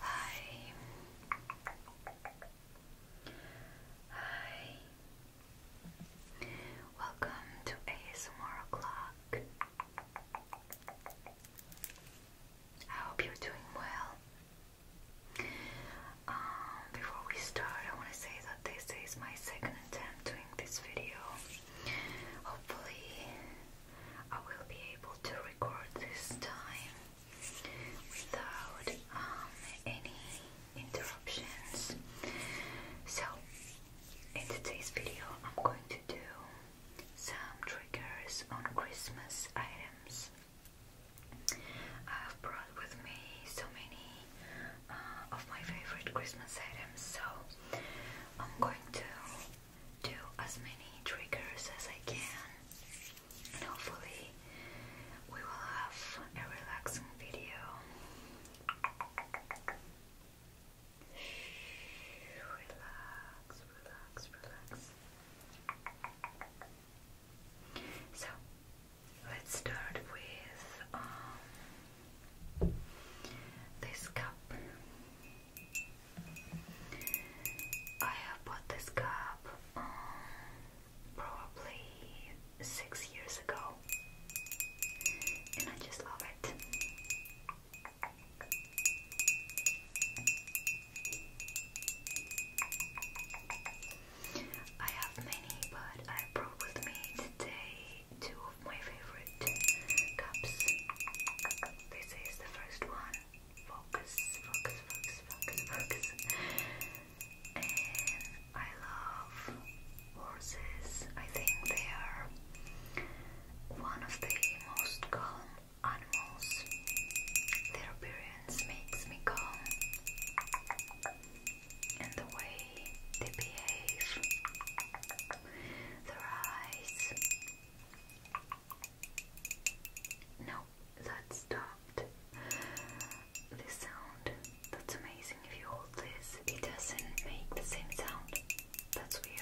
Hi. Hi. Welcome to ASMR O'Clock. I hope you're doing well. Um, before we start, I want to say that this is my second attempt doing this video. Hopefully, I will be able to record this time without um, any interruptions. So, in today's video, I'm going to do some triggers on Christmas items. I've brought with me so many uh, of my favorite Christmas items, so I'm going to do as many triggers as I can, and hopefully, we will have a relaxing video. Relax, relax, relax. So let's start with um, this cup. I have bought this cup um, probably six years ago, and I just love it. I have many, but I brought with me today two of my favorite cups. This is the first one. Focus, focus, focus, focus, focus. I love horses. I think they are one of the most calm animals. Their appearance makes me calm, and the way they behave, their eyes. No, that stopped this sound. That's amazing. If you hold this, it doesn't make the same sound. That's weird.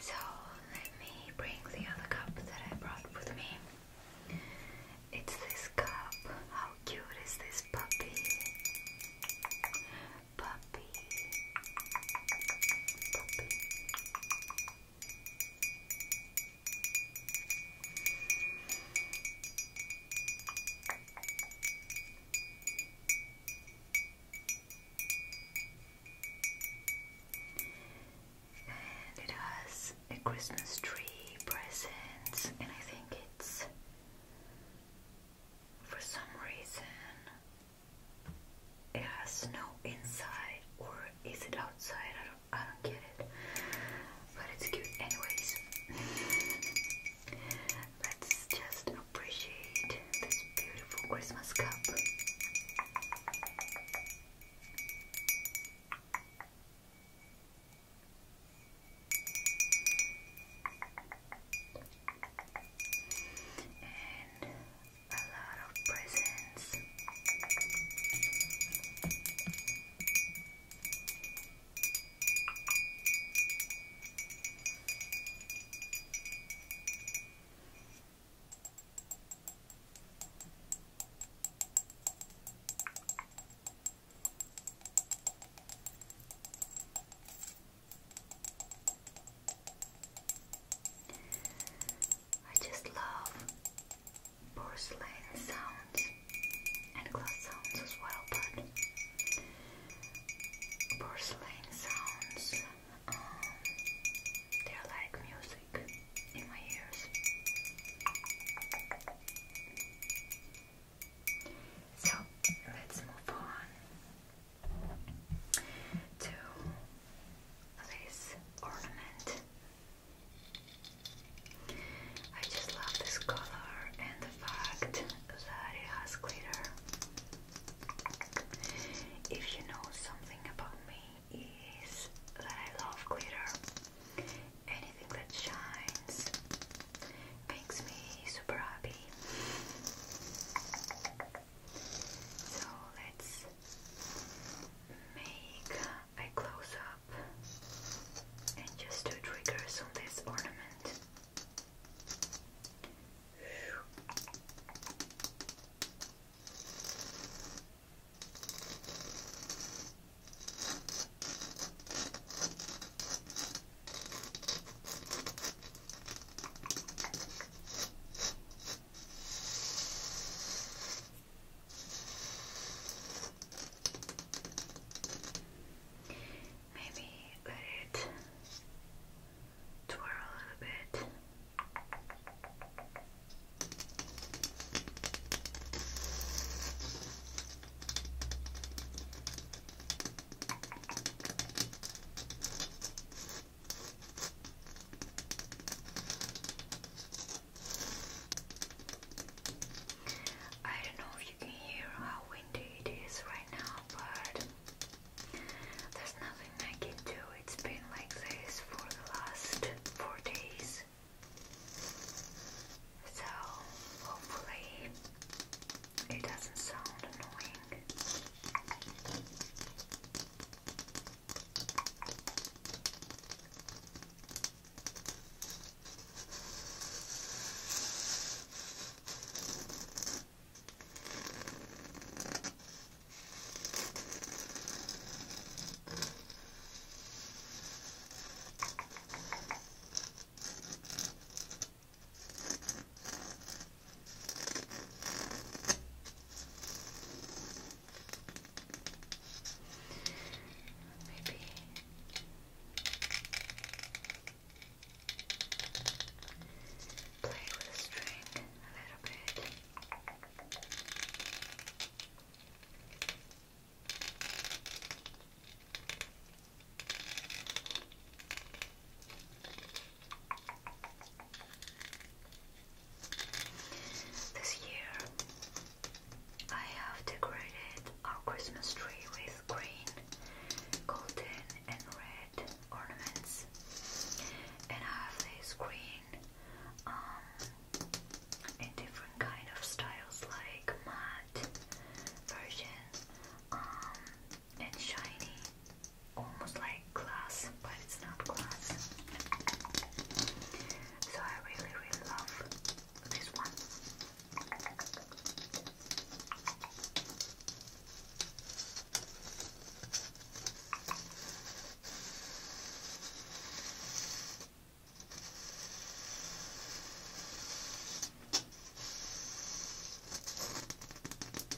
So let me bring the other cup that I brought with me. It's this cup. How cute is this puppy? puppy. Puppy. And it has a Christmas tree, presents, and I think it's for some reason it has no inside or is it outside? I don't I don't get it. But it's cute anyways. Let's just appreciate this beautiful Christmas cup and a lot of presents. I just love porcelain sounds and glass sounds as well, but porcelain sounds, um, they're like music in my ears. So let's move on to this ornament. I just love this color and the fact that it has glitter. If you know something about me, is that I love glitter. Anything that shines makes me super happy. So let's make a close up and just do triggers on this ornament. Maybe let it twirl a little bit. I don't know if you can hear how windy it is right now, but there's nothing I can do. It's been like this for the last four days. So, hopefully, it doesn't sound annoying. Maybe play with the string a little bit. Okay. This year I have decorated our Christmas tree with green, golden, and red ornaments, and I have this green um, in different kind of styles like matte version, um, and shiny, almost like glass, but it's not glass. So I really, really love this one.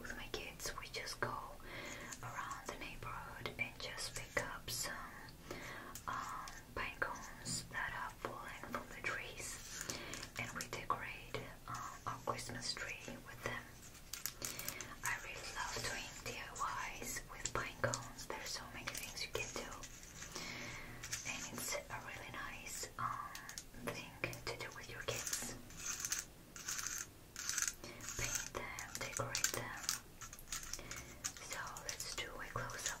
with my kids, we just go around the neighborhood and just pick up some um, pine cones that are falling from the trees, and we decorate uh, our Christmas tree with them. I really love doing DIYs with pine cones. There's so many things you can do, and it's a really nice um, thing to do with your kids paint them, decorate them. So let's do a close up.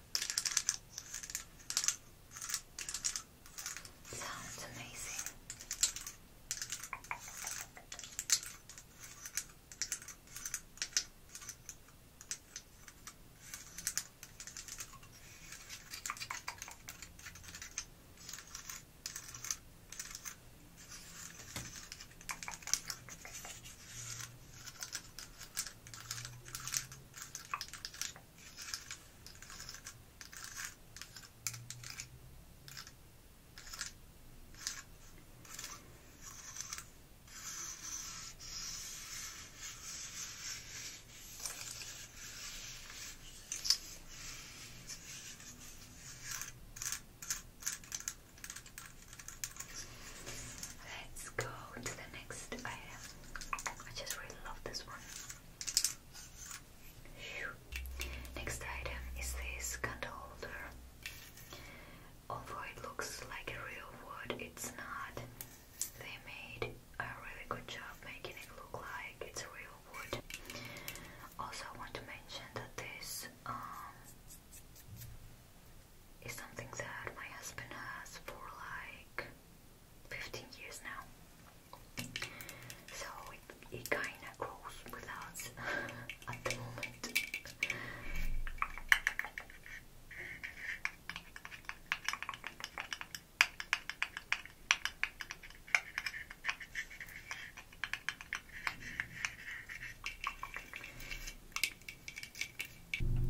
Sounds amazing. Let's go to the next item. I just really love this one. Next item is this candle holder. Although it looks like real wood, it's not. They made a really good job making it look like it's real wood. Also, I want to mention that this um, is something that my husband has for like 15 years now. So it, it kinda goes with us at the moment.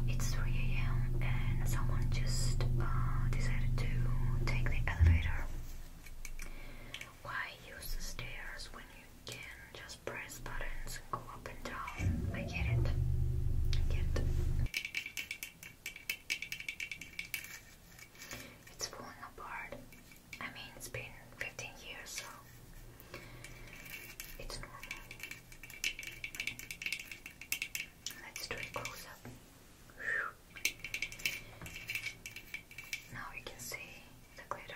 It's 3 a.m. and someone just uh, decided to take the elevator. Why use the stairs when you can just press buttons and go up and down? I get it. I get it. It's falling apart. I mean, it's been 15 years, so it's normal. Let's do a close up. Now we can see the glitters.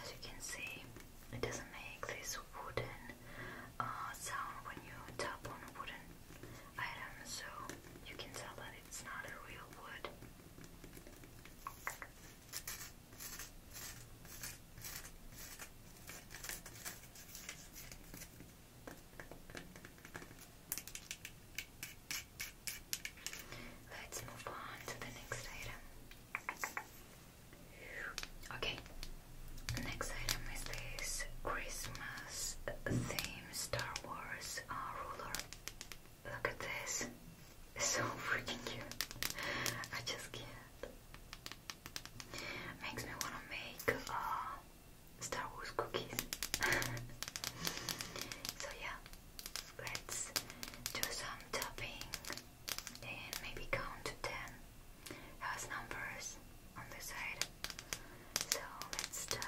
As you can see, it doesn't make this wooden uh, sound when you tap on a wooden item, so you can tell that it's not a real wood. Let's move on to the next item. Okay, next item is this Christmas theme Star Wars uh, ruler. Look at this. It's so freaking cute. I just can't. Makes me wanna make uh, Star Wars cookies. so yeah, let's do some tapping and maybe count to 10. Has numbers on the side. So let's start.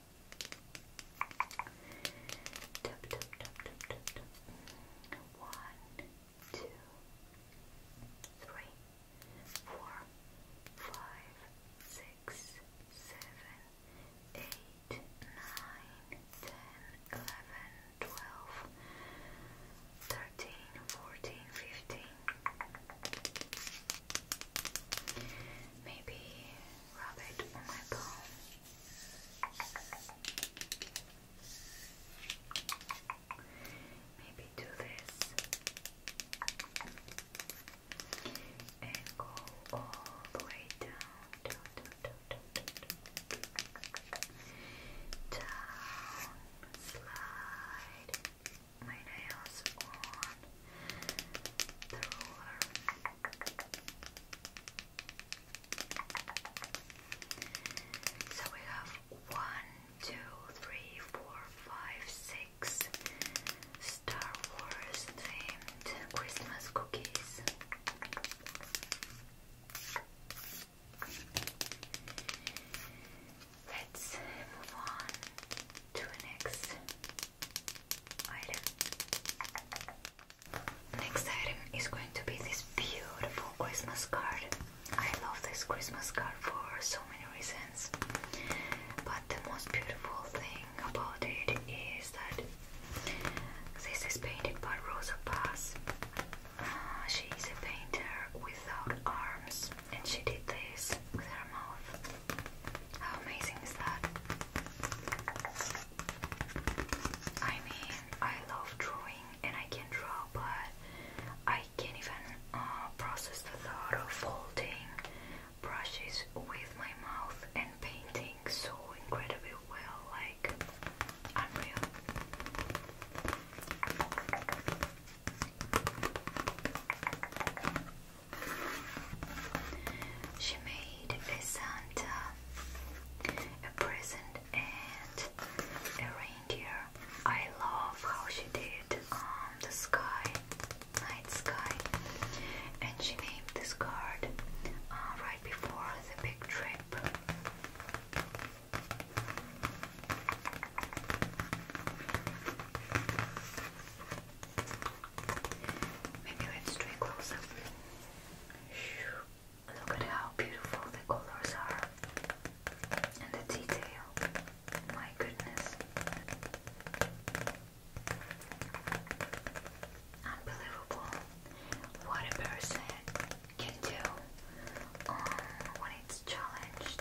Tap, tap, tap, tap, tap, tap. One, two, three, four, five, six, seven, eight, nine, ten, eleven, twelve, thirteen, fourteen, fifteen. Maybe rub it on my palm. Maybe do this and go all the way down, down, down, down, down, down, down. down slide my nails on the so we have one, two, three, four, five, six Star Wars themed Christmas cookies. Let's move on to the next item. Next item is going to be this beautiful Christmas card. I love this Christmas card for so many reasons, but the most beautiful thing about it is that this is painted by Rosa Paz. Uh, she is a painter without arms, and she did this with her mouth. How amazing is that? I mean, I love drawing and I can draw, but I can't even uh, process the thought of holding brushes with my mouth and painting so incredibly well. Like, unreal. She made a Santa a present and a reindeer. I love how she did um, the sky, night sky, and she named this card uh, right before the big trip. Maybe let's do a close up. Look at how beautiful the colors are and the detail. My goodness. Unbelievable what a person can do um, when it's challenged.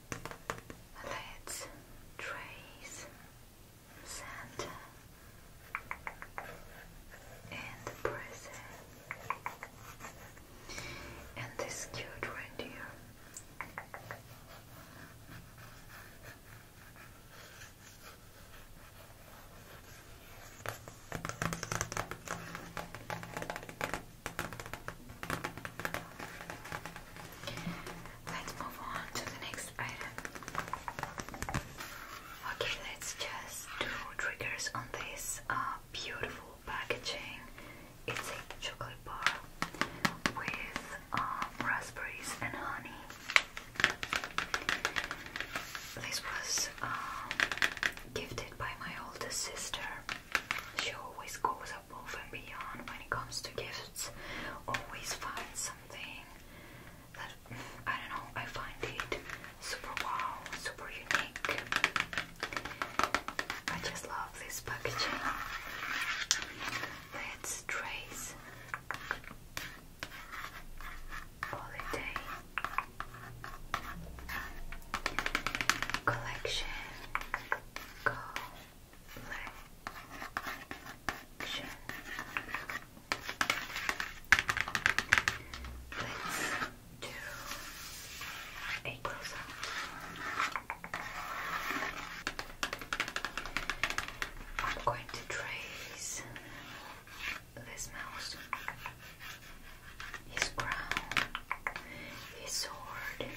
let's trace center and present and this cute reindeer. Let's move on to the next item. Okay, let's just do triggers on this uh, beautiful packaging. It's a chocolate bar with um, raspberries and honey. This was um, gifted by my older sister. She always goes up above and beyond when it comes to gifts. Always find something that I don't know, I find it super wow, super unique. I just love this packaging. Let's trace holiday collection collection. Let's do a close up. I'm going to trace this mouse, his crown, his sword,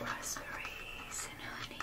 raspberries and honey.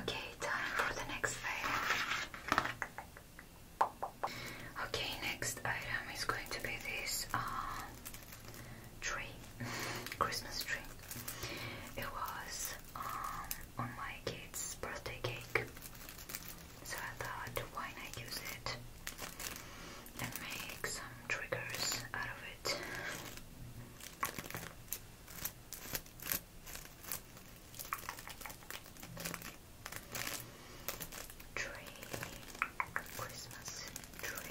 Okay, time for the next item. Okay, next item is going to be this um, tree, Christmas tree. It was um, on my kid's birthday cake, so I thought why not use it and make some triggers out of it tree, Christmas tree.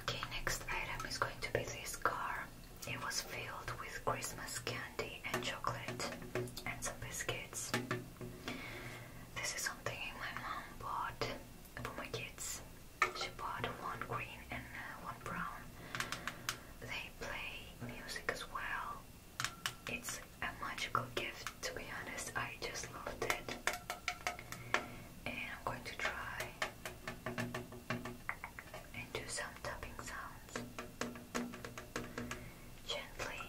Okay, next item is going to be this car. It was filled with Christmas candy and chocolate and some biscuits. This is something my mom bought for my kids. She bought one green and uh, one brown. They play music as well. It's a magical gift, to be honest. I just loved it. And I'm going to try and do some tapping sounds gently.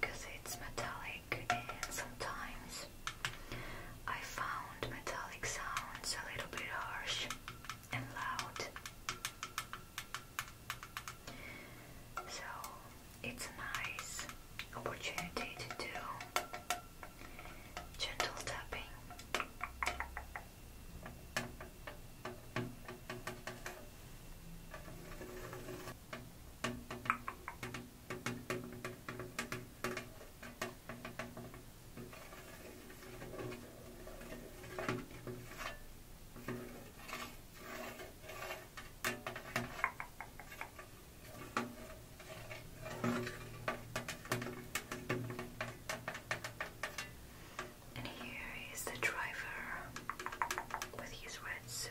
Because it's metallic, and sometimes I found metallic sounds a little bit harsh and loud. So it's a nice opportunity to do gentle tapping. And here is the driver with his red suit.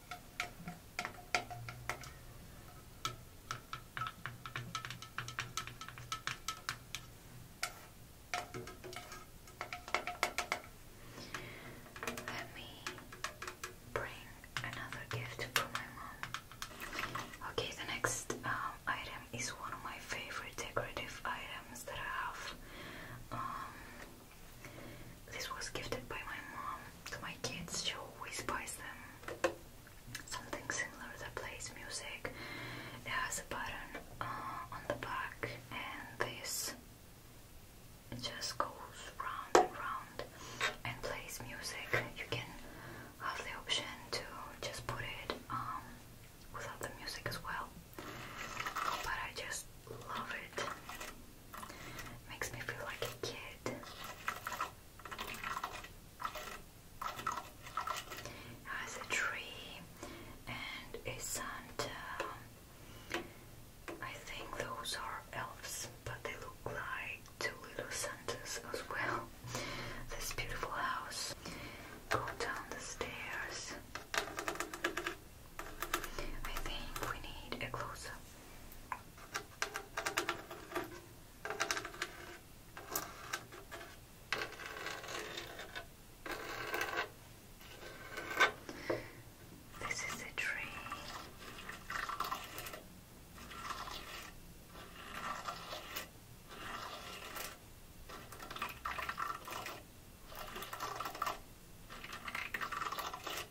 Let me bring another gift for my mom. Okay, the next um, item is one of my favorite decorative items that I have. Um, this was gifted by my mom to my kids. She always buys them something similar that plays music. It has a button uh, on the back, and this just goes round and round and plays music. You can have the option to just put it um, without the music as well, but I just love it. Makes me feel like a kid. has a tree and a Santa. I think those are elves, but they look like two little Santas as well. This beautiful house. Go down the stairs. I think we need a close this is a tree.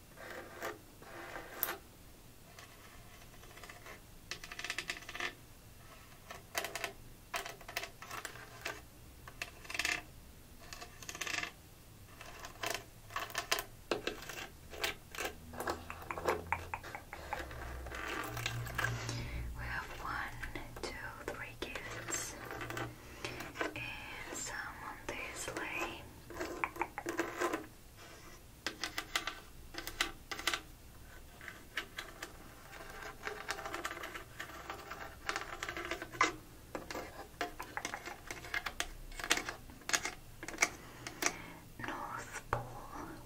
We have one, two, three gifts and some on this North Pole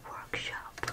Workshop.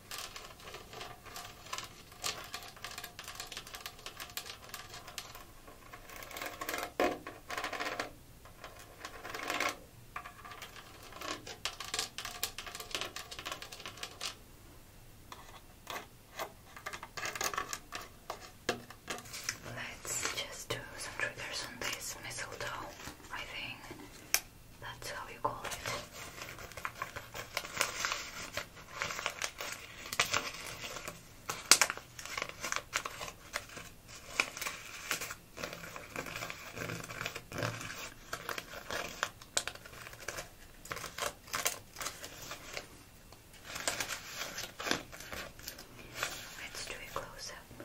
Let's just do some triggers on this mistletoe, I think. That's how you call it. Let's do a close up.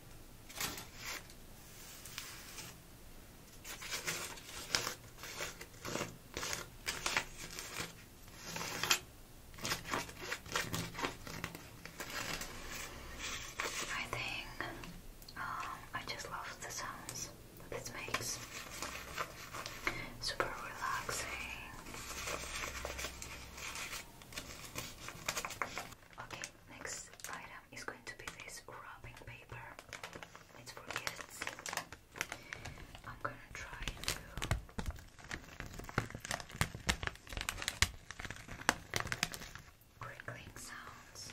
I think um, I just love the sounds that this makes. Super relaxing. Okay, Next item is going to be this wrapping paper. It's for gifts. I'm gonna try to crinkling sounds.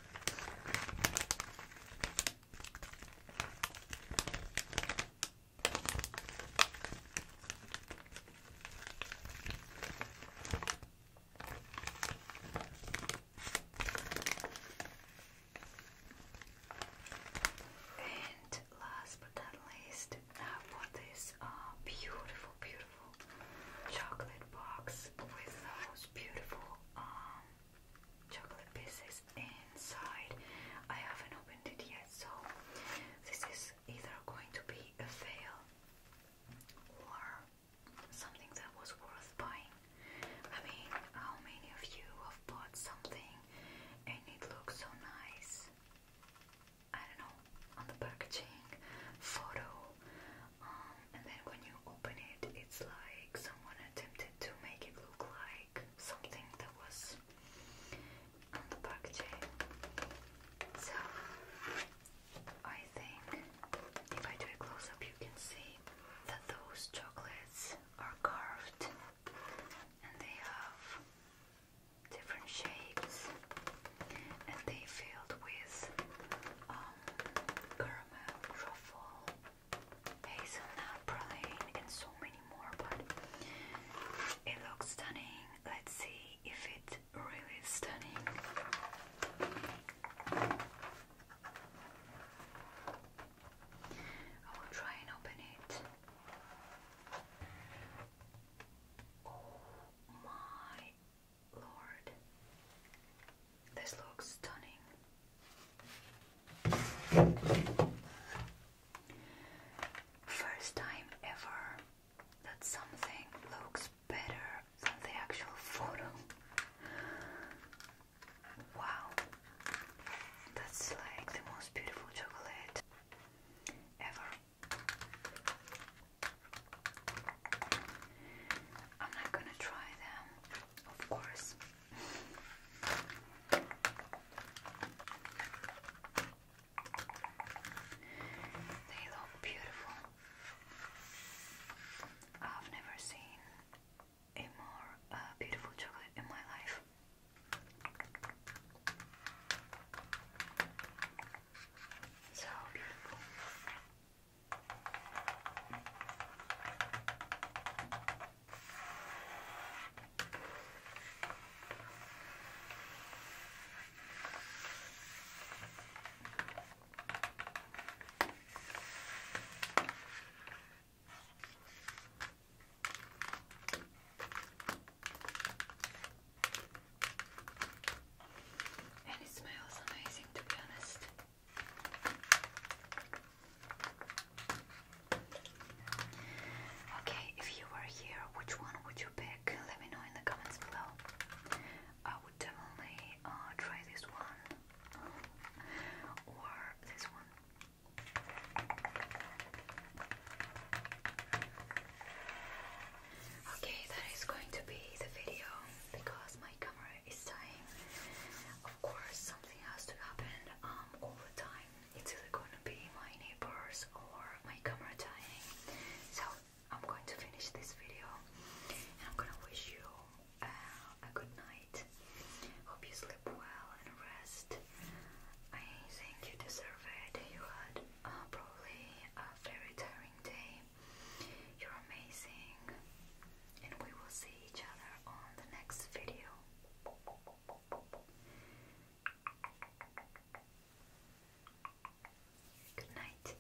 And last but not least, I bought this beautiful, beautiful chocolate box with those beautiful um, chocolate pieces inside. I haven't opened it yet, so this is either going to be a fail or something that was worth buying. I mean, how many of you have bought something and it looks so nice? I don't know, on the packaging, photo, um, and then when you open it, it's like someone attempted to make it look like something that was on the packaging. So I think if I do a close up, you can see that those chocolates are carved and they have different shapes and they are filled with um, caramel, truffle, hazelnut praline and so many more but it looks stunning let's see if it really stunning I will try and open it oh my lord this looks stunning. First time ever that something looks better than the actual photo. Wow, that's like the most beautiful chocolate ever. I'm not gonna try them, of course. They look beautiful. I've never seen a more uh, beautiful chocolate in my life. So beautiful. And it smells amazing to be honest. Okay, if you were here, which one would you pick? Let me know in the comments below. I would definitely uh, try this one or this one. Okay, that is going to be the video because my camera is dying of course something has to happen um, time. It's either going to be my neighbors or my camera dying. So I'm going to finish this video I'm going to wish you uh, a good night. Hope you sleep well and rest. I think you deserve it. You had uh, probably a very tiring day. You're amazing and we will see each other on the next video. Good night.